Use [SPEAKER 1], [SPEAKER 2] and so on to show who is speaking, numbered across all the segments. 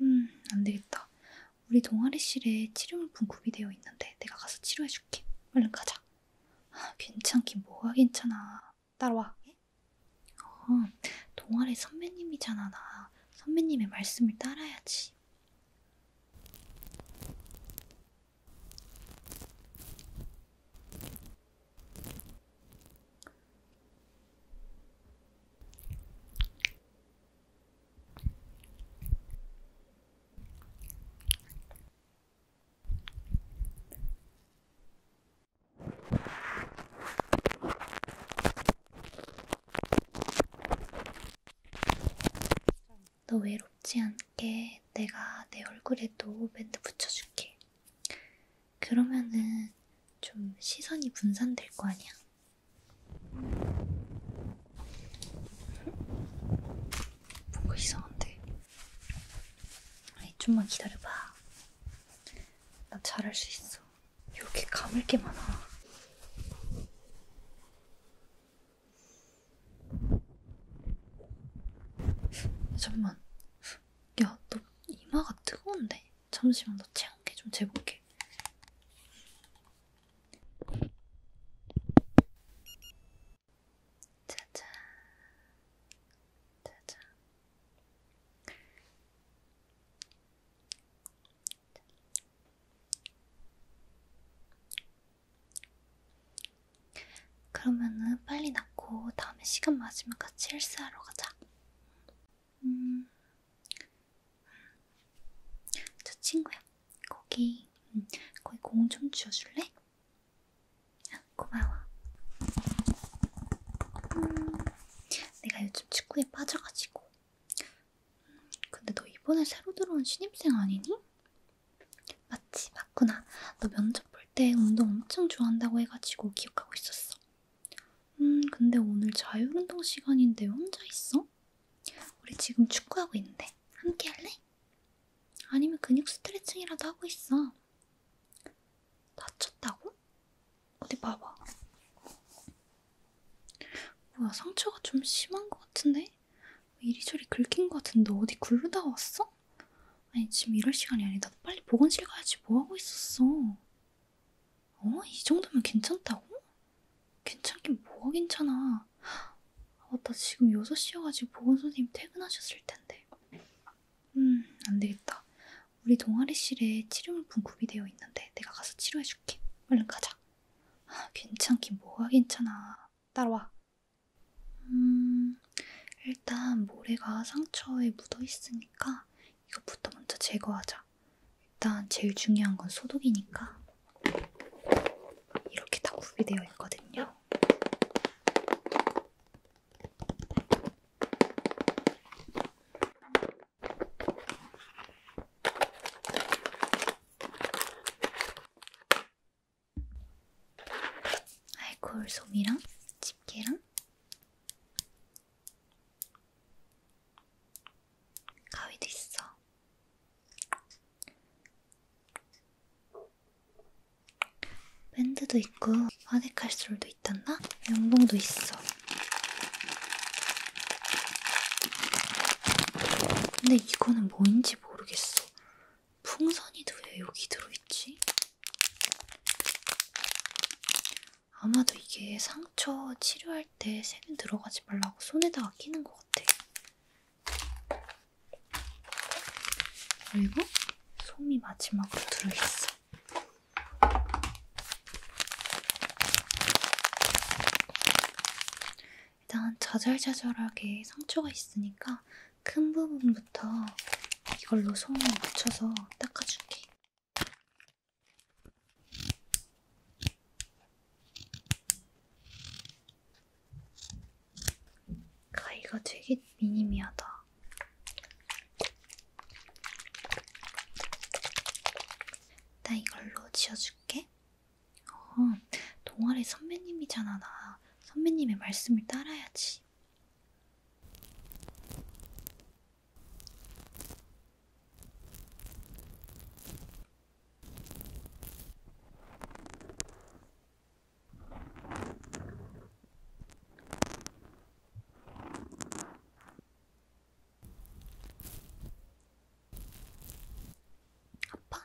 [SPEAKER 1] 음, 안 되겠다. 우리 동아리실에 치료물품 구비되어 있는데 내가 가서 치료해줄게. 얼른 가자. 아, 괜찮긴 뭐가 괜찮아. 따라와. 어, 동아리 선배님이잖아, 나. 선배님의 말씀을 따라야지. 너 외롭지 않게 내가 내 얼굴에도 밴드 붙여줄게. 그러면은 좀 시선이 분산될 거 아니야? 뭔가 이상한데? 아니, 좀만 기다려봐. 나 잘할 수 있어. 여기 감을 게 많아. 잠깐만. 야, 너 이마가 뜨거운데? 잠시만 너 체온 게좀 재볼게. 짜잔, 짜잔. 그러면은 빨리 낳고 다음에 시간 맞으면 같이 헬스하러 가자. 음, 저 친구야, 거기, 음, 거기 공좀 쥐어줄래? 아, 고마워. 음, 내가 요즘 축구에 빠져가지고. 음, 근데 너 이번에 새로 들어온 신입생 아니니? 맞지, 맞구나. 너 면접 볼 때 운동 엄청 좋아한다고 해가지고 기억하고 있었어. 음, 근데 오늘 자율운동 시간인데 혼자 있어? 우리 지금 축구하고 있는데 함께 할래? 아니면 근육 스트레칭이라도 하고 있어. 다쳤다고? 어디 봐봐. 뭐야, 상처가 좀 심한 것 같은데? 이리저리 긁힌 것 같은데 어디 굴르다 왔어? 아니, 지금 이럴 시간이 아니다. 빨리 보건실 가야지 뭐하고 있었어. 어? 이 정도면 괜찮다고? 괜찮긴 뭐가 괜찮아. 아맞다 지금 6시여가지고 보건선생님 퇴근하셨을 텐데. 음, 안 되겠다. 우리 동아리실에 치료물품 구비되어 있는데 내가 가서 치료해줄게. 얼른 가자. 아, 괜찮긴 뭐가 괜찮아. 따라와. 음, 일단 모래가 상처에 묻어 있으니까 이것부터 먼저 제거하자. 있습니다. 일단 제일 중요한 건 소독이니까 이렇게 다 구비되어 있거든요. 알코올 솜이랑 집게랑 가위도 있어. 밴드도 있고 파데칼솔도 있단다? 연봉도 있어. 근데 이거는 뭔지 모르겠어. 풍선이도 왜 여기 들어있지? 아마도 이게 상처 치료할 때 세면 들어가지 말라고 손에다가 끼는 것 같아. 그리고 솜이 마지막으로 들어있어. 일단 자잘자잘하게 상처가 있으니까 큰 부분부터 이걸로 솜을 묻혀서 닦아줄게. 가위가 되게 미니미하다. 나 이걸로 지어줄게. 어, 동아리 선배님이잖아, 나. 선배님의 말씀을 따라야지. 아파?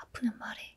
[SPEAKER 1] 아프면 말해.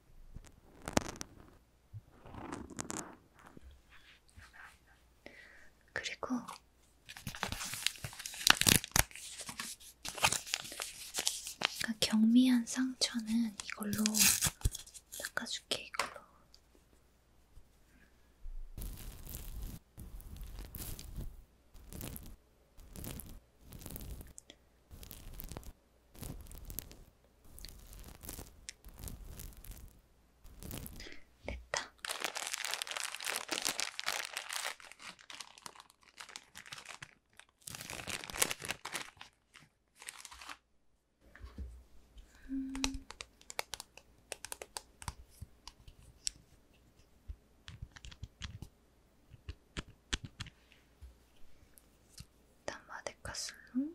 [SPEAKER 1] 그리고 경미한 상처는 이걸로 닦아줄게 이걸로 됐다. 음. 일단 마데카슬롱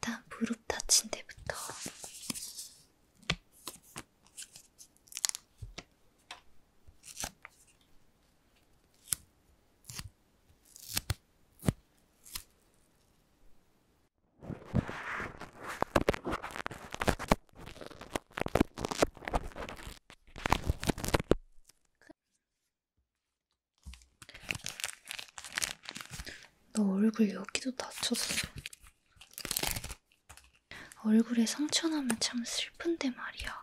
[SPEAKER 1] 일단 무릎 다친 데부터 너 얼굴 여기도 다쳤어. 얼굴에 상처 나면 참 슬픈데 말이야.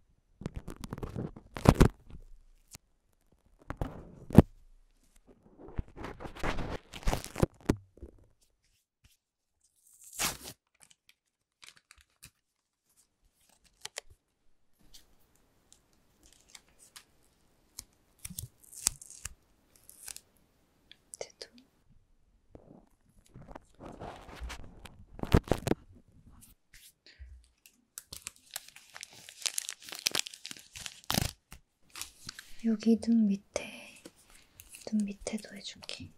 [SPEAKER 1] 제도 여기 눈 밑에, 눈 밑에도 해줄게.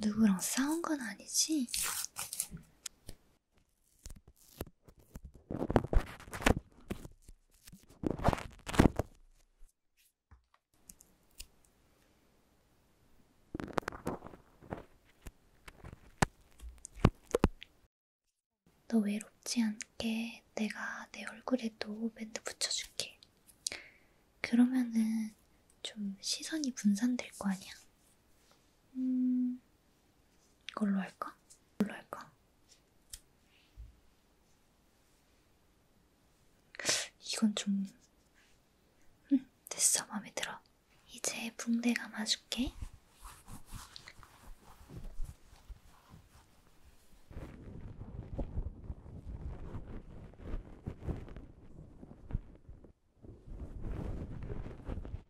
[SPEAKER 1] 누구랑 싸운 건 아니지? 너 외롭지 않게 내가 내 얼굴에도 밴드 붙여줄게. 그러면은 좀 시선이 분산될 거 아니야? 음, 이걸로 할까? 이걸로 할까? 이건 좀 응, 됐어. 마음에 들어. 이제 붕대 감아줄게.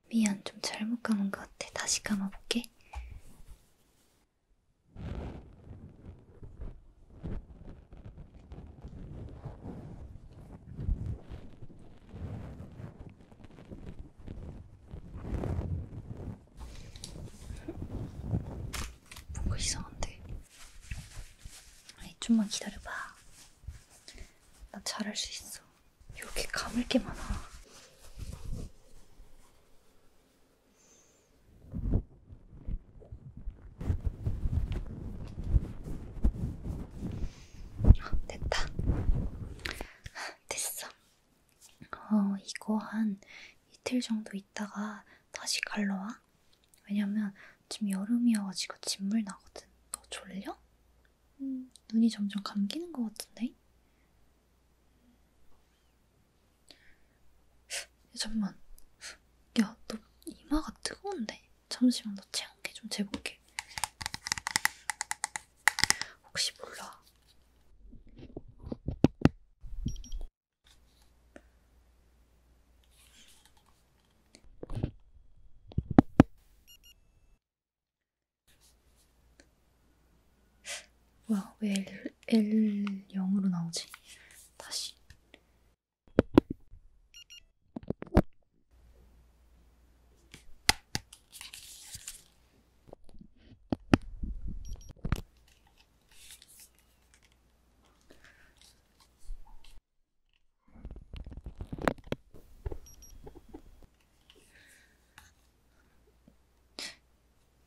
[SPEAKER 1] 미안, 좀 잘못 감은 것 같아. 다시 감아볼게. 뭔가 이상한데? 아니 좀만 기다려봐. 나 잘할 수 있어. 이렇게 감을 게 많아. 아, 됐다. 아, 됐어. 어, 이거 한 이틀 정도 있다가 다시 갈러 와. 왜냐면 지금 여름이어가지고 진물 나거든. 너 졸려? 음, 눈이 점점 감기는 것 같은데? 야, 잠만. 야, 너 이마가 뜨거운데? 잠시만, 너 체온계 좀 재볼게. 혹시 몰라. 뭐야, 왜 L, L0으로 나오지? 다시.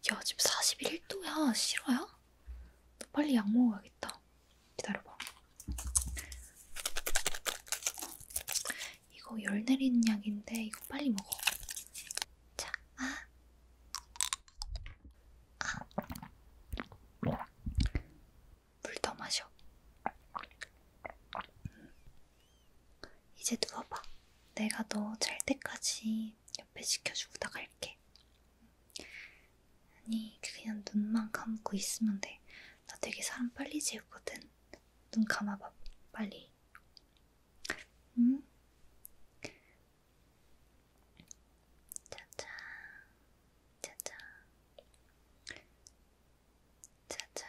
[SPEAKER 1] 야, 지금 41도야. 싫어요? 너 빨리 약 먹어야겠다. 기다려봐. 이거 열 내리는 약인데 이거 빨리 먹어. 자, 아. 아. 물더 마셔. 음. 이제 누워봐. 내가 너 잘 때까지 옆에 시켜주고다 갈게. 아니 그냥 눈만 감고 있으면 돼. 나 되게 사람 빨리 재우거든. 눈 감아봐 빨리. 응? 짜잔, 짜잔, 짜잔,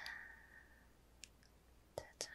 [SPEAKER 1] 짜잔.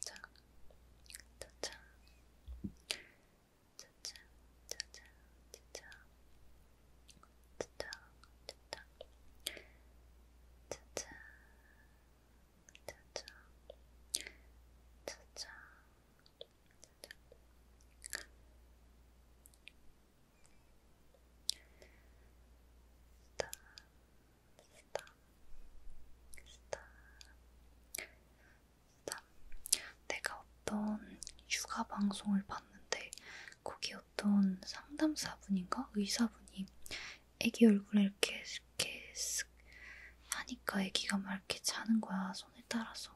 [SPEAKER 1] 짜잔, 짜잔, 짜잔, 짜잔, 짜잔. 짜잔, 짜잔, 짜잔, 짜잔, 짜잔. 스탑, 스탑, 스탑, 스탑. 내가 어떤 육아 방송을 봤는데 거기 어떤 상담사분인가 의사분이 애기 얼굴에 이렇게 이렇게 쓱 하니까 애기가 막 이렇게 자는 거야 손에 따라서.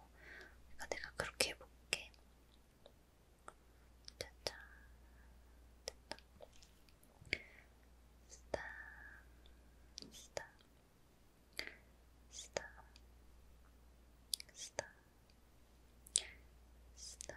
[SPEAKER 1] 그러니까 내가 그렇게 해볼게. 짜잔. 됐다. 스탑. 스탑. 스탑. 스탑. 스탑.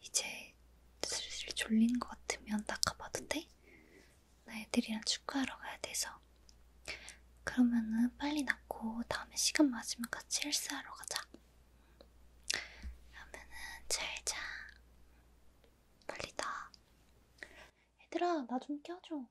[SPEAKER 1] 이제 슬슬 졸린 것 같으면 나 가봐도 돼? 나 애들이랑 축구하러 가야 돼서. 그러면은 빨리 낫고 다음에 시간 맞으면 같이 헬스하러 가자. 그러면은 잘 자. 빨리 나. 얘들아, 나 좀 껴줘.